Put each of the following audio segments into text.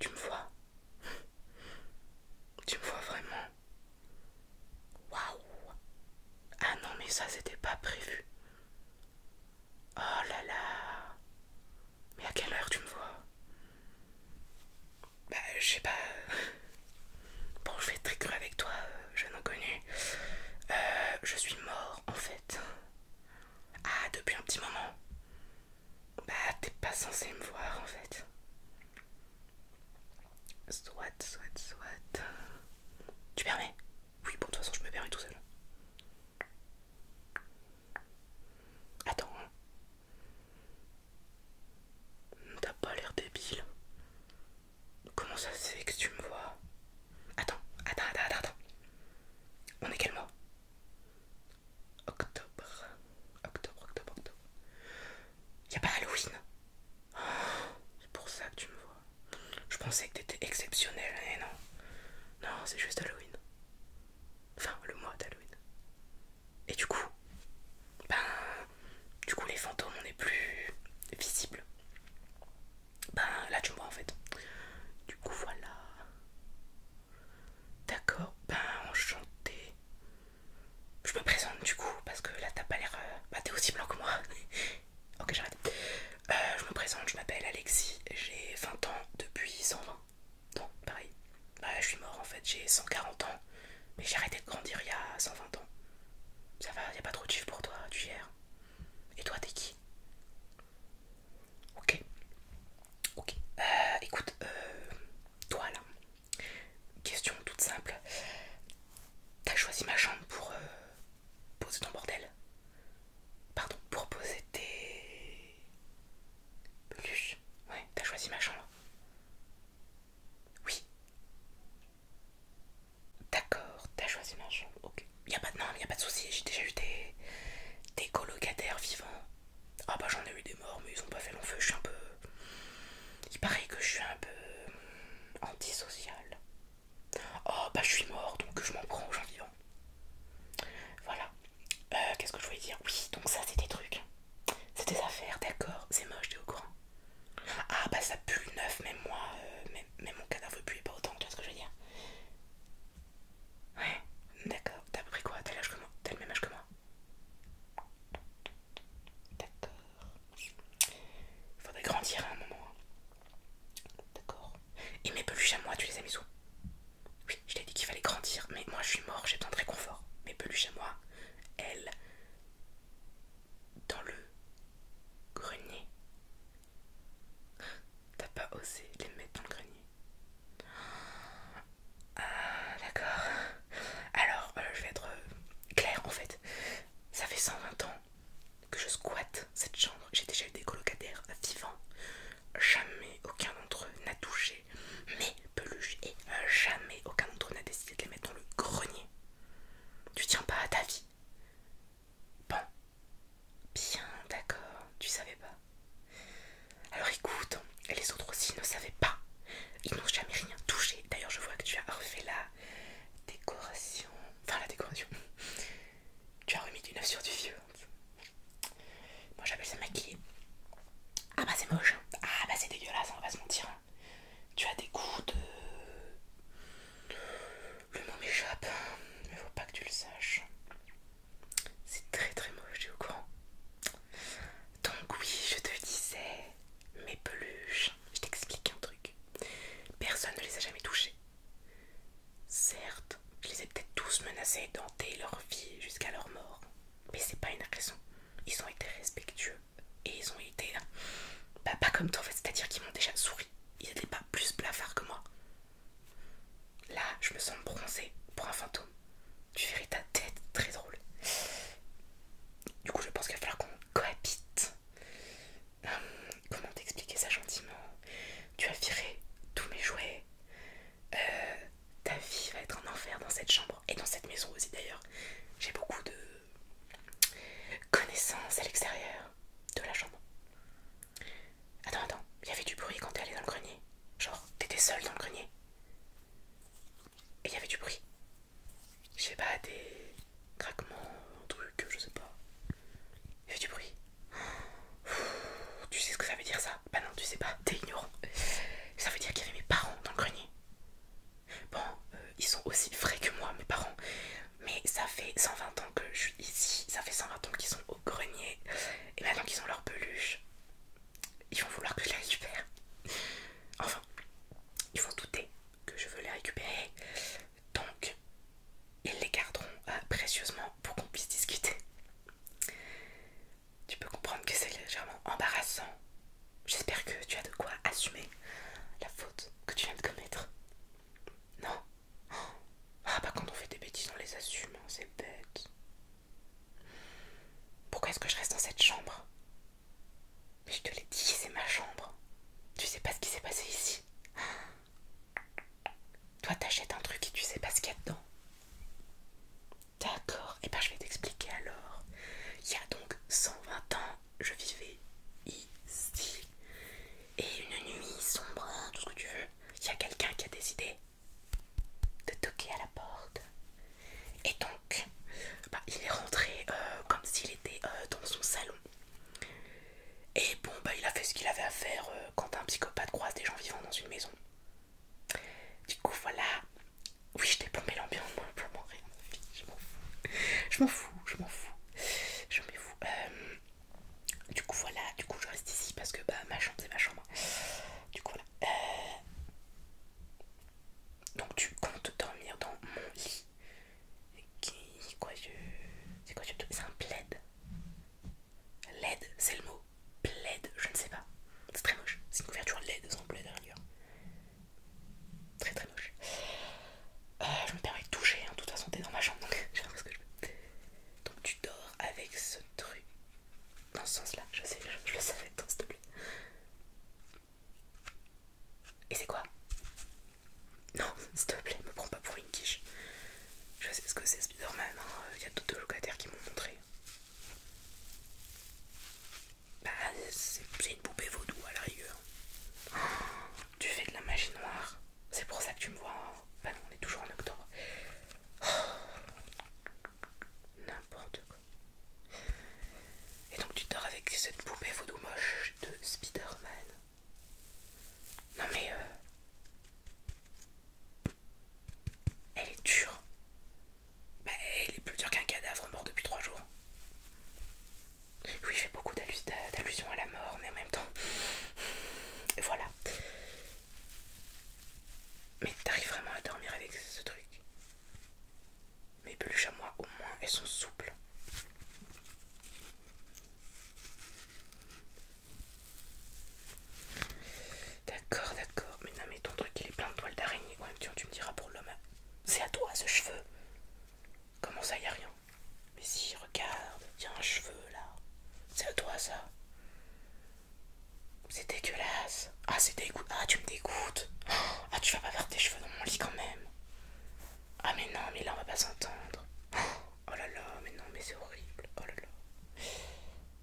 Tu me vois Tu me vois vraiment Waouh Ah non mais ça c'était pas prévu. Oh là là mais à quelle heure tu me vois Bah, je sais pas. Bon, je vais très cru avec toi, euh, jeune inconnu. Euh, je suis mort en fait. Ah, depuis un petit moment. Bah, t'es pas censé me voir en fait. Soit, soit, soit. Tu permets Oui, bon, de toute façon, je me permets tout seul. Attends, hein. T'as pas l'air débile. Comment ça c'est que tu me vois Attends, attends, attends, attends. On est quel mois Octobre. Octobre, octobre, octobre. Y'a pas Halloween oh, C'est pour ça que tu me vois. Je pensais que t'étais exceptionnel, mais non. Non, c'est juste Halloween. Enfin, le mois d'Halloween. Et du coup, ben, du coup les fantômes on est plus visible. Ben là tu me vois en fait. Du coup voilà. D'accord, ben enchanté. Je me présente du coup parce que là t'as pas l'air... Euh, bah t'es aussi blanc que moi. ok j'arrête. Euh, je me présente, je m'appelle Alexis, j'ai 20 ans depuis 120. Non, pareil. Bah, je suis mort en fait, j'ai 140 ans, mais j'ai arrêté de grandir il y a 120 ans. Ça va, y a pas trop de chiffres pour toi, tu gères. Et toi, t'es qui Ok. Ok. Euh, écoute, euh, toi là, question toute simple. T'as choisi ma chambre pour euh, poser ton bordel Pardon, pour poser tes plus, Ouais, t'as choisi ma chambre Oui. D'accord, t'as choisi ma chambre. Ok. Y a pas de, non, y a pas de souci. J'ai déjà eu des, colocataires vivants. Ah bah j'en ai eu des morts, mais ils ont pas fait long feu. Je suis un peu. Il paraît que je suis un peu antisocial. Oh bah je suis mort, donc je m'en prends aux gens vivants. Voilà. Euh, Qu'est-ce que je voulais dire Oui, donc ça c'est des trucs. C'est des affaires, d'accord. C'est moche, t'es au courant. Ah bah ça pue neuf, même moi, euh, même, mon cadavre pue pas autant, tu vois ce que je veux dire Ouais, d'accord. T'as pris quoi T'as le même âge que moi D'accord. Faudrait grandir à un moment. Hein. D'accord. Et mes peluches à moi, tu les as mis où oui, je t'ai dit qu'il fallait grandir, mais moi je suis mort, j'ai besoin de réconfort. Mes peluches à moi, elles, dans le grenier. T'as pas osé les mettre dans le grenier Ah, d'accord. Alors, euh, je vais être euh, claire en fait. Ça fait 120 ans que je squatte cette chambre. J'ai déjà eu des colocataires vivants jamais aucun d'entre eux n'a touché mes peluches et jamais aucun d'entre eux n'a décidé de les mettre dans le grenier. Tu tiens pas à ta vie. Bon. Bien, d'accord, tu savais pas. Alors écoute, les autres aussi ne savaient pas. Ils n'ont jamais rien touché. D'ailleurs, je vois que tu as refait la décoration. Enfin, la décoration. Tu as remis du neuf sur du vieux. Moi j'appelle ça maquillé Ah bah c'est moche. Hein. Ah bah c'est dégueulasse, hein, on va se mentir. Hein. Tu as des coups de... Le mot m'échappe, mais faut pas que tu le saches. C'est très très moche, tu es au courant. Donc oui, je te disais, mes peluches, je t'explique un truc. Personne ne les a jamais touchées. Certes, je les ai peut-être tous menacés d'enter leur vie jusqu'à leur mort. Mais c'est pas une agression Ils ont été respectueux et ils ont été. Euh, bah, pas comme toi en fait, c'est-à-dire qu'ils m'ont déjà souri. Ils n'étaient pas plus blafards que moi. Là, je me sens bronzée pour un fantôme. Tu verrais ta tête, très drôle. Du coup, je pense qu'il va falloir qu'on cohabite. Hum, comment t'expliquer ça gentiment Tu as viré tous mes jouets. Euh, ta vie va être un enfer dans cette chambre et dans cette maison aussi d'ailleurs. J'ai beaucoup de connaissances à l'extérieur de la chambre. Attends, attends, il y avait du bruit quand t'es allé dans le grenier. Genre, t'étais seul dans le grenier. Et il y avait du bruit. Je sais pas, des craquements, trucs, je sais pas. Il y avait du bruit. Tu sais ce que ça veut dire ça Bah non, tu sais pas, t'es ignorant. Ça veut dire qu'il y avait mes parents dans le grenier. Bon, euh, ils sont aussi frais que moi, mes parents. Mais ça fait 120 ans que je suis ici, ça fait 120 ans qu'ils sont au grenier. Et maintenant qu'ils ont leur peluche, ils vont vouloir que je les récupère. Enfin, ils vont douter que je veux les récupérer. Donc, ils les garderont euh, précieusement pour qu'on puisse discuter tu peux comprendre que c'est légèrement embarrassant. J'espère que tu as de quoi assumer la faute que tu viens de commettre. Non Ah bah quand on fait des bêtises on les assume, c'est bête. Pourquoi est-ce que je reste dans cette chambre Mais je te l'ai dit, c'est ma chambre. Tu sais pas ce qui s'est passé ici. Toi, t'achètes un truc et tu sais pas ce qu'il y a dedans. D'accord, et eh ben je vais t'expliquer alors. Il y a donc 120 ans, je vivais ici. Et une nuit sombre, hein, tout ce que tu veux, il y a quelqu'un qui a décidé de toquer à la porte. Et donc, bah, il est rentré euh, comme s'il était euh, dans son salon. Et bon, bah, il a fait ce qu'il avait à faire euh, quand un psychopathe croise des gens vivant dans une maison. Du coup, voilà. Oui, je t'ai plombé l'ambiance, moi, Je m'en fous. Je m'en fous, je m'en fous. Je m'en fous. Euh, du coup, voilà. Du coup, je reste ici parce que bah, ma chambre, c'est ma chambre. Du coup, voilà. Euh, donc, tu comptes dormir dans mon lit. Qui... Quoi, je... C'est quoi, C'est un plaid. l'aide c'est le mot. Bled, je ne sais pas. C'est très moche. C'est une couverture laide sans plaid à Très très moche. Euh, je me permets de toucher, En hein. de toute façon t'es dans ma chambre donc j'ai ce que je veux. Donc tu dors avec ce truc. Dans ce sens là, je sais, je, le savais, s'il te plaît. Et c'est quoi Non, s'il te plaît, me prends pas pour une quiche. Je sais ce que c'est Spider-Man, hein. il y a d'autres locataires qui m'ont montré. Bah, c'est une poupée vaudou à la oh, tu fais de la magie noire, c'est pour ça que tu me vois. Hein. Bah on est toujours en octobre. Oh, n'importe quoi. Et donc tu dors avec cette poupée vaudou moche de Spider-Man. Non mais... Euh, elle est dure. Bah, elle est plus dure qu'un cadavre mort depuis trois jours. Oui, j'ai beaucoup d'allusions à la mort, mais en même temps. Voilà. Mais t'arrives vraiment à dormir avec ce truc. Mes peluches à moi, au moins, elles sont souples. D'accord, d'accord. Mais non, mais ton truc, il est plein de toiles d'araignée. quand même, tu me diras pour l'homme. C'est à toi ce cheveu. Comment ça, y a rien Mais si, regarde, y a un cheveu là. C'est à toi ça. C'est dégueulasse. Ah, c'est dégoût... Ah, tu me dégoûtes. Ah, tu vas pas faire tes cheveux dans mon lit quand même. Ah, mais non, mais là on va pas s'entendre. Ah, Oh là là, mais non, mais c'est horrible. Oh là là.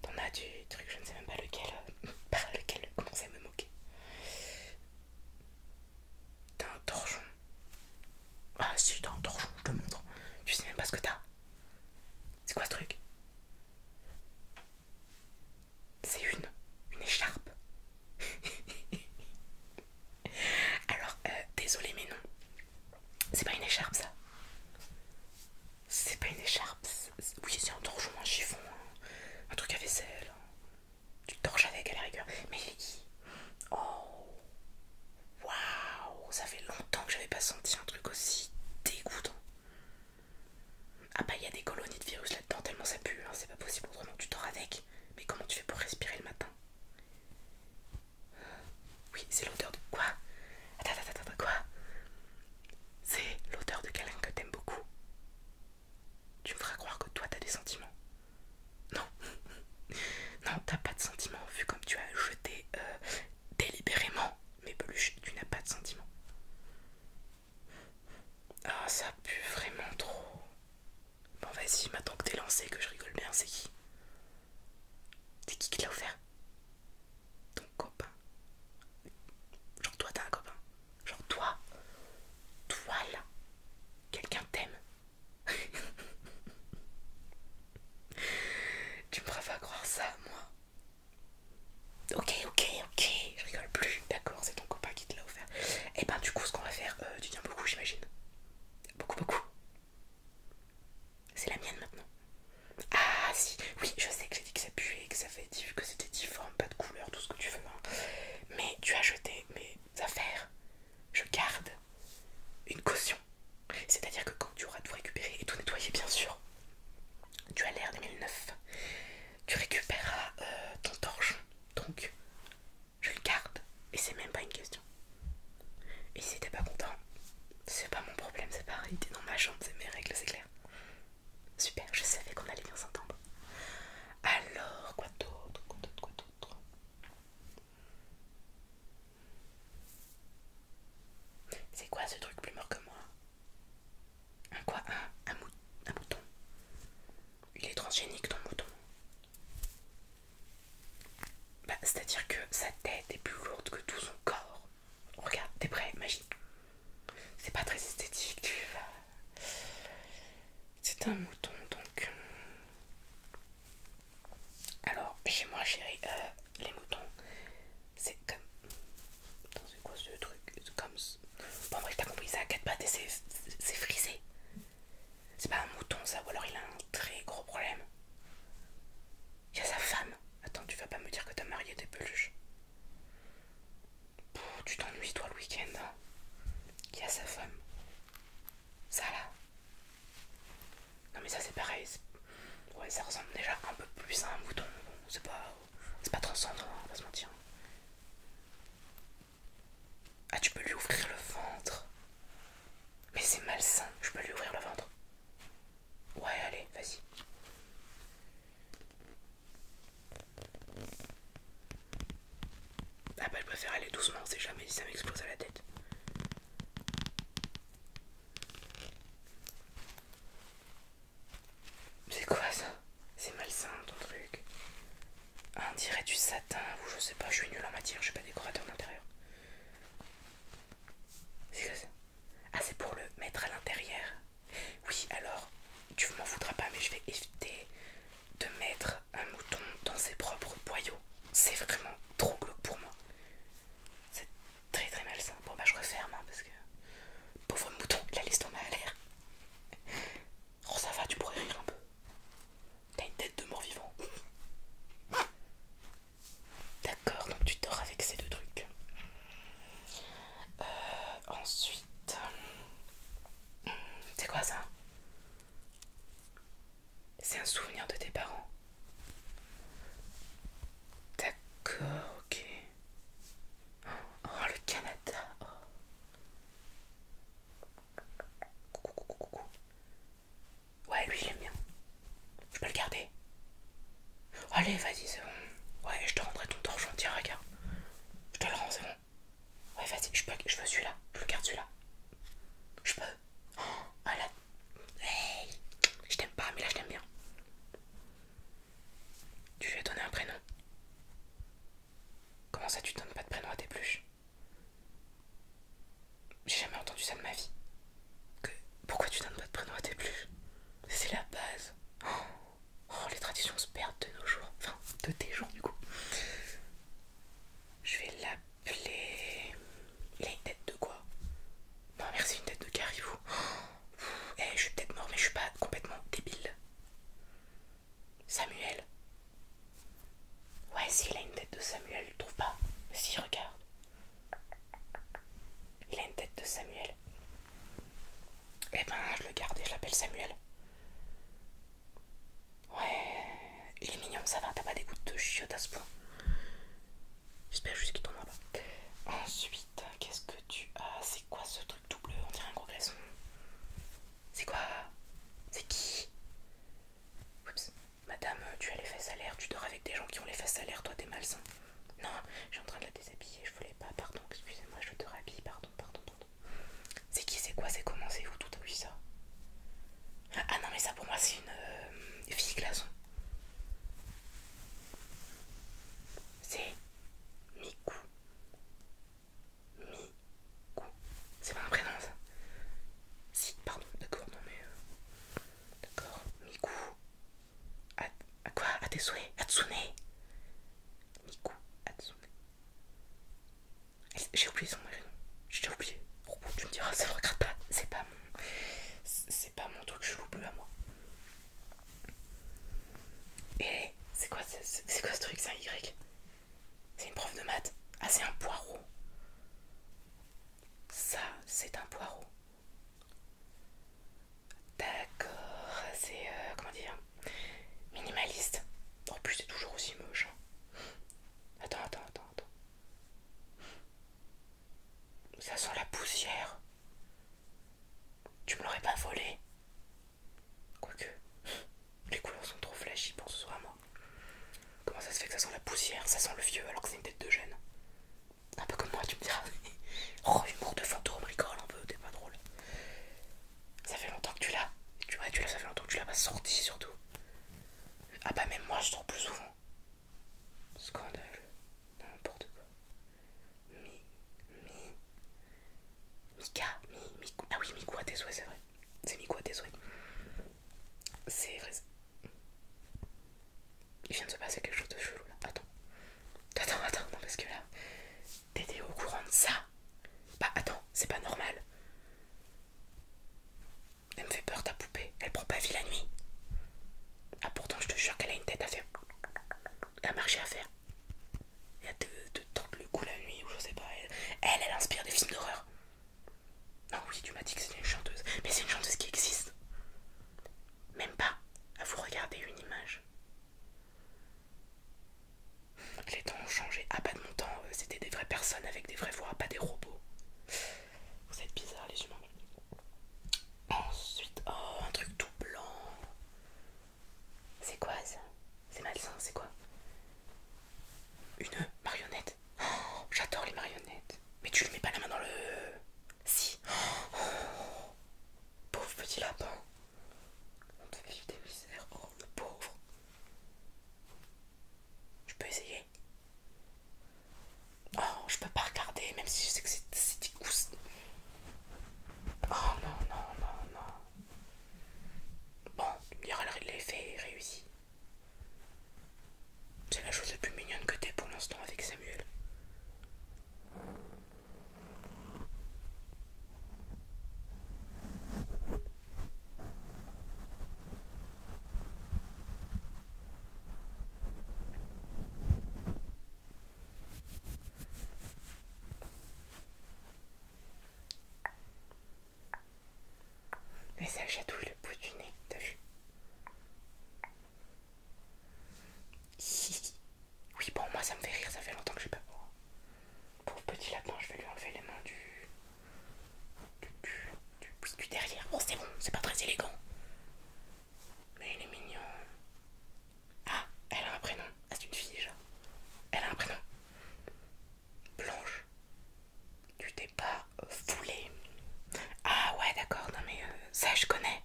T'en as du truc, je ne sais même pas lequel. Euh, par lequel commencer à me moquer. T'as un torchon. Ah si, t'as un torchon, je te montre. Tu sais même pas ce que t'as. C'est quoi ce truc C'est une. Une écharpe. Alors, euh, désolé mais non. C'est pas une écharpe ça C'est pas une écharpe Oui c'est un torchon, un chiffon, hein. un, truc à vaisselle hein. Tu torches avec à la rigueur Mais qui Oh Waouh Ça fait longtemps que j'avais pas senti un truc aussi dégoûtant Ah bah il y a des colonies de virus là-dedans tellement ça pue hein. C'est pas possible autrement tu dors avec Mais comment tu fais pour respirer le matin oui, c'est l'odeur de quoi Attends, attends, attends, quoi C'est l'odeur de quelqu'un que t'aimes beaucoup. Tu me feras croire que toi t'as des sentiments. Non, non, t'as pas de sentiments vu comme tu as jeté euh, délibérément mes peluches. Tu n'as pas de sentiments. Ah, ça pue vraiment trop. Bon, vas-y, maintenant que t'es lancé, que je rigole bien, c'est qui c'est qui qui l'a offert Ton copain. Genre toi t'as un copain. Genre toi. Toi là. Quelqu'un t'aime. tu me pas croire ça, moi. Ok, ok, ok, je rigole plus. D'accord, c'est ton copain qui te l'a offert. Et eh ben du coup, ce qu'on va faire, euh, tu tiens beaucoup, j'imagine. Beaucoup, beaucoup. C'est la mienne maintenant. Ah si, oui, je sais que j'ai dit que ça puait, que ça fait que c'était difforme, pas de couleur, tout ce que tu veux. Hein. Mais tu as jeté mes affaires. Je garde une caution. C'est-à-dire que quand tu auras tout récupéré et tout nettoyé, bien sûr, tu as l'air 2009. Tu récupéreras euh, ton torchon. Donc, je le garde. Et c'est même pas une question. Et si t'es pas content, c'est pas mon problème, c'est pareil, t'es dans ma chambre, c'est mes règles, c'est clair. Super, je savais qu'on allait bien s'entendre. Alors, quoi d'autre Quoi d'autre C'est quoi ce truc plus mort que moi Un quoi un, un mouton Il est transgénique ton mouton bah, c'est-à-dire que sa tête est plus lourde que tout son corps. Regarde, t'es prêt, magique. C'est pas très esthétique, tu vas. C'est un mouton donc. Euh. Alors, chez moi, chérie, euh, les moutons, c'est comme. Dans une grosse ce truc, comme. Bon, vrai t'as compris, ça à quatre pattes et c'est frisé. C'est pas un mouton, ça, ou alors il a un très gros problème. Il a sa femme. Attends, tu vas pas me dire que t'as marié des peluches. tu t'ennuies toi le week-end. Hein. y a sa femme. Ça là. Non mais ça c'est pareil. Ouais, ça ressemble déjà un peu plus à un bouton. c'est pas, c'est pas transcendant, hein, on va se mentir. Ah, tu peux lui ouvrir le ventre. Mais c'est malsain. Je peux lui ouvrir le ventre. Ouais, allez, vas-y. Ah bah je préfère aller doucement, on sait jamais si ça m'explose à la tête. C'est quoi ça C'est malsain ton truc. On dirait du satin ou je sais pas, je suis nul en matière, je suis pas décorateur d'intérieur. Ah, c'est pour le mettre à l'intérieur. Oui, alors, tu m'en voudras pas, mais je vais éviter de mettre un mouton dans ses propres boyaux. C'est vraiment trop glauque pour moi. C'est très très malsain. Bon, bah, je referme hein, parce que. Pauvre mouton, la l'estomac a l'air. Oh, ça va, tu pourrais rire un peu. T'as une tête de mort vivant. D'accord, donc tu dors avec ces deux trucs. Euh, ensuite, c'est quoi ça C'est un souvenir de tes parents. D'accord, ok. Oh, le Canada. Oh. coucou. Ouais, lui, j'aime bien. Je peux le garder. Allez, vas-y, c'est bon. Ouais, je te rendrai ton torchon. Tiens, regarde. Je te le rends, c'est bon. Ouais, vas-y, je peux, je veux celui-là. Je le garde celui-là. Je peux. Oh, hey, je t'aime pas, mais là, je t'aime bien. Tu lui as donné un prénom. Comment ça, tu donnes pas de prénom à tes pluches j'ai jamais entendu ça de ma vie. Que... Pourquoi tu donnes pas de prénom à tes plus C'est la base. Oh. les traditions se perdent de nos jours. Enfin, de tes jours, du coup. Je vais l'appeler. Il a une tête de quoi Non, merci, une tête de caribou. Eh, je suis peut-être mort, mais je suis pas complètement débile. Samuel. Ouais, si, il a une tête de Samuel, tu trouves pas Si, regarde. Il a une tête de Samuel. Eh ben, je le garde et je l'appelle Samuel. Ouais, il est mignon, ça va, t'as pas des gouttes de chiot à ce point. J'espère juste qu'il tombera pas. Ensuite, qu'est-ce que tu as C'est quoi ce truc tout bleu On dirait un gros glaçon. C'est quoi C'est qui Oups, Madame, euh, tu as les fesses à l'air, tu dors avec des gens qui ont les fesses à l'air, toi t'es malsain. Non, je suis en train de la déshabiller, je voulais pas, pardon, excusez-moi, je te rhabille, pardon, pardon, pardon. C'est qui, c'est quoi, c'est comment, c'est où, tout a vu ça Ah non, mais ça pour moi c'est une euh, fille glaçon. C'est Miku. Miku. C'est pas un prénom ça Si, pardon, d'accord, non mais. Euh, D'accord Miku. À, quoi À tes souhaits Hatsune Miku Hatsune. J'ai oublié son nom. J'ai oublié. pourquoi tu me diras, ça regarde pas. C'est pas mon. C'est pas mon truc, je l'oublie à moi. Et c'est quoi, c'est quoi ce truc C'est un Y C'est une prof de maths Ah, c'est un poireau. Ça, c'est un poireau. D'accord, c'est euh, comment dire minimaliste. En plus, c'est toujours aussi moche. Hein. Attends, attends, attends, Ça sent la poussière. Tu me l'aurais pas volé. Quoique, les couleurs sont trop flashy pour ce ce moi. Comment ça se fait que ça sent la poussière, ça sent le vieux alors que c'est une tête de gêne Un peu comme moi, tu me diras. oh, humour de fantôme, rigole un peu, t'es pas drôle. Ça fait longtemps que tu l'as. Tu vois, tu l'as, ça fait longtemps que tu l'as pas sorti surtout. Ah bah même moi je sors plus souvent. Scandale. N'importe quoi. Mi, mi. Mika, mi, Ah oui, Miku à tes souhaits, c'est vrai. C'est Miku à tes souhaits. C'est vrai. Il vient de se passer quelque chose de chelou là. Attends. Attends, attends, non parce que là. T'étais au courant de ça Bah attends, c'est pas normal. Elle me fait peur ta poupée. Elle prend pas vie la nuit. Ah pourtant je te jure qu'elle a une tête à faire. Elle a marché à faire. elle te, de tente le coup la nuit ou je sais pas. Elle, elle, elle inspire des films d'horreur. Non, ah oui, tu m'as dit que c'était une chanteuse. Mais c'est une chanteuse qui existe. Même pas à vous regarder une image. Les temps ont changé. Ah, pas de mon temps, euh, c'était des vraies personnes avec des vraies voix, pas des robots. Vous êtes bizarres, les humains. Ensuite, oh, un truc tout blanc. C'est quoi ça C'est malsain, c'est quoi Une marionnette Oh, j'adore les marionnettes. Mais tu le mets pas la main dans le... Si. Oh, pauvre petit lapin. On te fait des misères. Oh, le pauvre. Je peux essayer. Oh, je peux pas regarder, même si je sais que c'est des cousses. Oh non, non, non, non. Bon, il y aura l'effet réussi. C'est la chose la plus mignonne que t'aies pour l'instant avec Samuel. Mais ça chatouille le bout du nez, t'as vu Oui, bon, moi ça me fait rire, ça fait longtemps que je pas. Pour petit lapin, je vais lui enlever les mains du. du. du, derrière. Bon, oh, c'est bon, c'est pas très élégant. Mais il est mignon. Ah, elle a un prénom. Ah, c'est une fille déjà. Elle a un prénom. Blanche. Du pas foulé. Ah ouais, d'accord, non mais euh, ça je connais.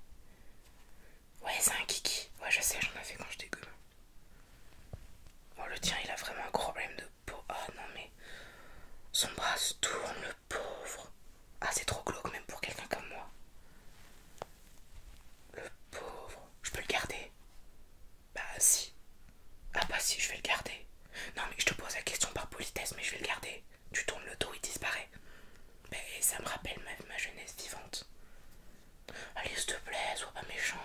Ouais, c'est un kiki. Ouais, je sais, j'en ai fait quand je connu. Oh, le tien, il a vraiment un problème de peau. Ah non, mais son bras se tourne, le pauvre. Ah, c'est trop glauque, même pour quelqu'un comme moi. Le pauvre. Je peux le garder Bah, si. Ah bah si, je vais le garder. Non mais je te pose la question par politesse, mais je vais le garder. Tu tournes le dos, il disparaît. Mais ça me rappelle ma, jeunesse vivante. Allez, s'il te plaît, sois pas méchant.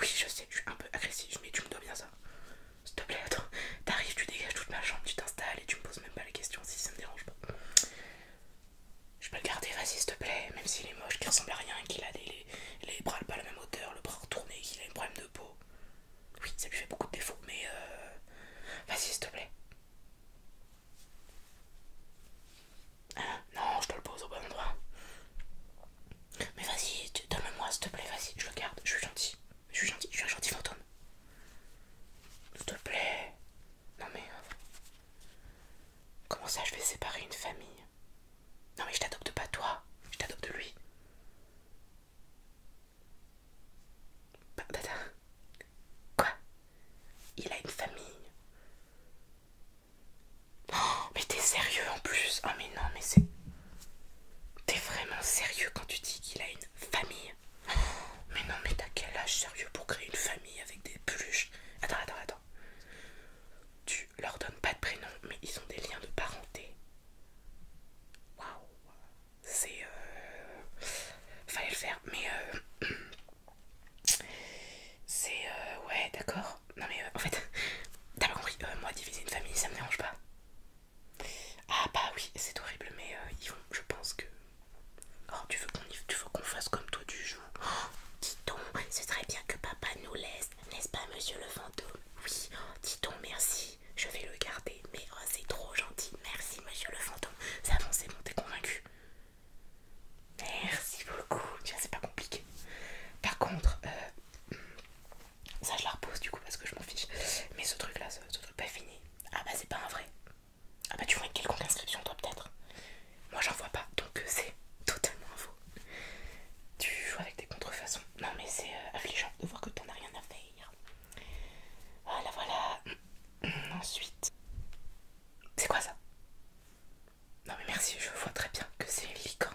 Oui, je sais, je suis un peu agressif, mais tu me dois bien ça. S'il te plaît, attends, t'arrives, tu dégages toute ma chambre, tu t'installes et tu me poses même pas la question, si ça me dérange pas. Je peux le garder, vas-y, s'il te plaît, même s'il est moche, qu'il ressemble à rien, qu'il a les, bras pas la même hauteur, le bras retourné, qu'il a un problème de peau. Oui, ça lui fait beaucoup de défauts, mais euh... vas-y, s'il te plaît. Hein non, je te le pose au bon endroit. Mais vas-y, donne-moi, s'il te plaît, vas-y, je le garde, je suis gentil. Je suis gentil, je suis un gentil fantôme. S'il te plaît. Non mais... Euh, comment ça, je vais séparer une famille Non mais je t'adopte pas toi, je t'adopte lui. Quoi Il a une famille oh, Mais t'es sérieux en plus Ah mais non mais c'est... T'es vraiment sérieux quand tu dis qu'il a une famille Mais non mais t'as quel âge sérieux pour créer une famille avec des peluches Attends, attends, attends leur donne pas de prénom, mais ils ont des liens de parenté. Waouh! C'est. Euh... Fallait le faire, mais. Euh... C'est. Euh... Ouais, d'accord. Non, mais euh, en fait, t'as pas compris. Euh, moi, diviser une famille, ça me dérange pas. Ah, bah oui, c'est horrible, mais euh, ils vont. Je pense que. Oh, tu veux qu'on fasse comme toi du jour? Oh, dis-donc, ce serait bien que papa nous laisse, n'est-ce pas, monsieur le fantôme? Oui, oh, dis-donc, merci je vais le garder, mais oh, c'est trop gentil. Merci, monsieur le fantôme. Ça avancé c'est bon, t'es convaincu. Merci beaucoup. Tiens c'est pas compliqué. Par contre, euh, ça je la repose du coup parce que je m'en fiche. Mais ce truc là, ce, truc pas fini. Ah bah, c'est pas un vrai. Ah bah, tu vois une quelconque inscription, toi peut-être. Moi, j'en vois pas, donc euh, c'est totalement un tu joues avec des contrefaçons. Non, mais c'est euh, affligeant de voir que t'en as rien à faire. Ah Voilà, voilà. Ensuite. C'est quoi ça Non, mais merci, je vois très bien que c'est une licorne.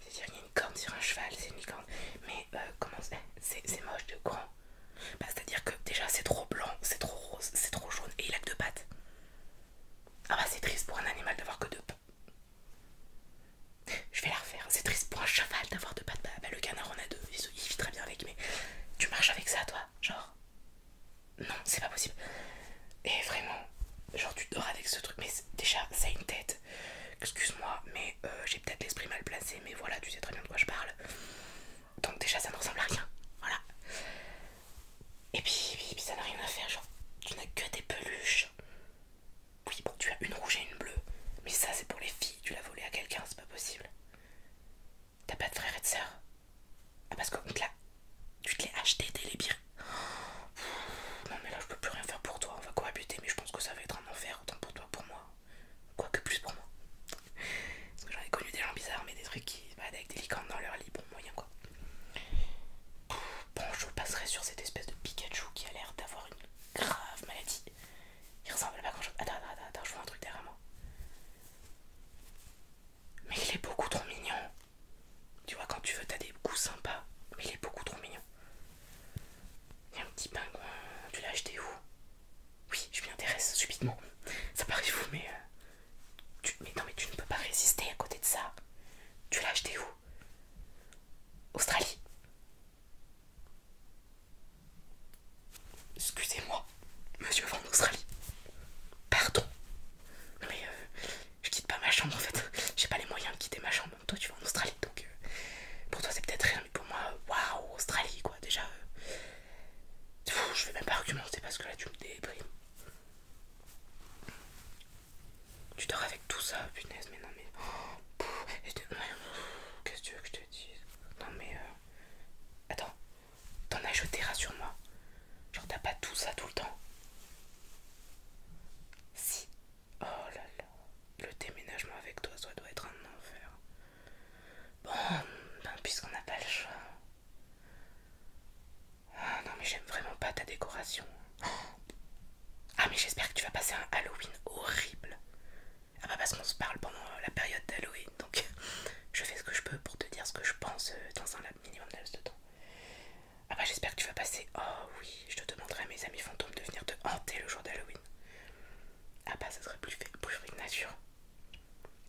C'est-à-dire, il y a une corne sur un cheval, c'est une licorne. Mais euh, comment c'est c'est moche de grand bah, C'est-à-dire que déjà, c'est trop blanc, c'est trop rose, c'est trop jaune et il a que deux pattes. Ah bah, c'est triste pour un animal d'avoir que deux, je vais la refaire, c'est triste pour un cheval d'avoir deux pattes. Bah, bah, le canard en a deux, il, vit très bien avec, mais tu marches avec ça, toi Genre, non, c'est pas possible. Et vraiment, genre, tu dors avec ce truc, mais déjà, ça a une tête. Excuse-moi, mais euh, j'ai peut-être l'esprit mal placé, mais voilà, tu sais très bien de quoi je parle. Donc, déjà, ça ne ressemble à rien. Voilà. Et puis, puis ça n'a rien à faire, genre, tu n'as que des peluches. Oui, bon, tu as une rouge et une bleue. Mais ça, c'est pour les filles. Tu l'as volé à quelqu'un, c'est pas possible. T'as pas de frère et de sœurs Ah, parce que te l'a... tu te l'es acheté t'es les Non, mais là, je peux plus rien faire pour toi. On va cohabiter, mais je pense que ça va être un enfer, autant pour toi pour moi. Quoique plus pour moi. Parce que j'en ai connu des gens bizarres, mais des trucs qui. Bah, avec des licornes dans leur lit, bon, moyen quoi. Bon, je passerai sur cette espèce de Pikachu qui a l'air d'avoir une grave maladie. Il ressemble pas grand chose. Attends, attends, attends, je vois un truc derrière moi. Mais il est beaucoup trop mignon. Tu vois, quand tu veux, t'as des goûts sympas. Mais il est beaucoup trop mignon. Il y a un petit pingouin. Tu l'as acheté où Oui, je m'y intéresse subitement. Ça paraît fou, mais, euh, tu... mais. Non, mais tu ne peux pas résister à côté de ça. Tu l'as acheté où Australie. Excusez-moi, monsieur en Australie. Pardon. Non mais euh, je quitte pas ma chambre en fait. J'ai pas les moyens de quitter ma chambre. Toi tu vas en Australie donc euh, pour toi c'est peut-être rien, mais pour moi, waouh, Australie quoi. Déjà, euh, je vais même pas argumenter parce que là tu me déprimes. Tu dors avec tout ça, punaise, mais non, mais. Oh, qu'est-ce que tu veux que je te dise Non, mais. Euh, attends, t'en as jeté, rassure-moi. Genre, t'as pas tout ça tout le temps Si. Oh là là. Le déménagement avec toi, ça doit être un enfer. Bon, ben, puisqu'on n'a pas le choix. Ah non, mais j'aime vraiment pas ta décoration. Oh, ah mais j'espère que tu vas passer un Halloween horrible. Ah bah parce qu'on se parle pendant la période d'Halloween, donc je fais ce que je peux pour te dire ce que je pense euh, dans un minimum de temps. Ah bah j'espère que tu vas passer... Oh oui, je te demanderai à mes amis fantômes de venir te hanter le jour d'Halloween. Ah bah ça serait plus, fait, plus une nature.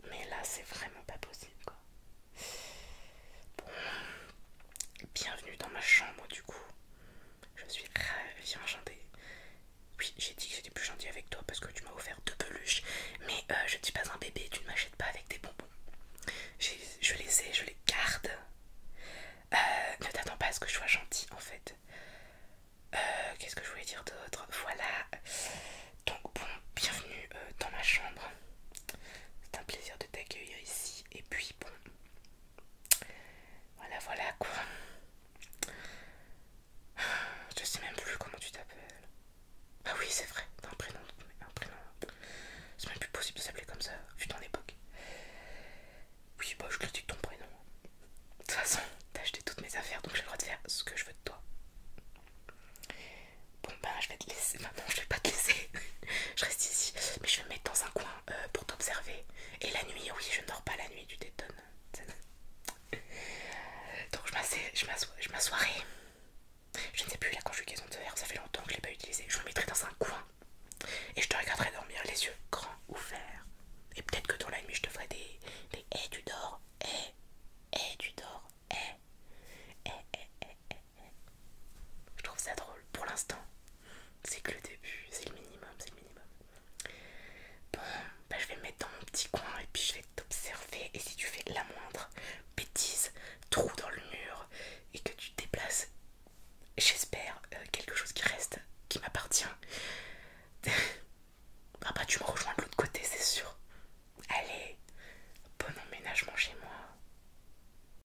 Mais là c'est vraiment pas possible quoi. Bon, bienvenue dans ma chambre du coup. Je suis ravie, enchantée. Oui, j'ai dit que j'étais plus gentille avec toi parce que tu m'as offert deux peluches. Mais euh, je ne suis pas un bébé, tu ne m'achètes pas avec des bonbons. Je les ai, je les garde. Euh, ne t'attends pas à ce que je sois gentille en fait. Euh, qu'est-ce que je voulais dire d'autre Voilà. Donc bon, bienvenue dans ma chambre. C'est un plaisir de t'accueillir ici. Et puis bon, voilà, voilà quoi. Je sais même plus comment tu t'appelles. Ah oui, c'est vrai, t'as un prénom. Un prénom. C'est même plus possible de s'appeler comme ça, vu ton époque. Oui, bah je critique ton prénom. De toute façon, t'as acheté toutes mes affaires, donc j'ai le droit de faire ce que je veux de toi. Bon ben, je vais te laisser. Maintenant, je vais pas te laisser. je reste ici, mais je vais me mettre dans un coin euh, pour t'observer. Et la nuit, oui, je ne dors pas la nuit, tu t'étonnes. Donc je m'assoirai. Je ne sais plus la conjugaison de ça fait longtemps que je l'ai pas utilisé. Je me mettrai dans un coin et je te regarderai dormir les yeux grands ouverts. Et peut-être que dans la nuit je te ferai des des eh, tu dors, hé, eh, et eh, tu dors, hé, hé, hé, hé, je trouve ça drôle pour l'instant. C'est que le début, c'est le minimum, c'est le minimum. Bon, bah je vais me mettre dans mon petit coin et puis je vais t'observer. Et si tu fais la moindre bêtise, trou dans le mur et que tu te déplaces, j'espère euh, quelque chose qui reste, qui m'appartient. ah bah, tu me rejoins de l'autre côté, c'est sûr. Allez, bon emménagement chez moi.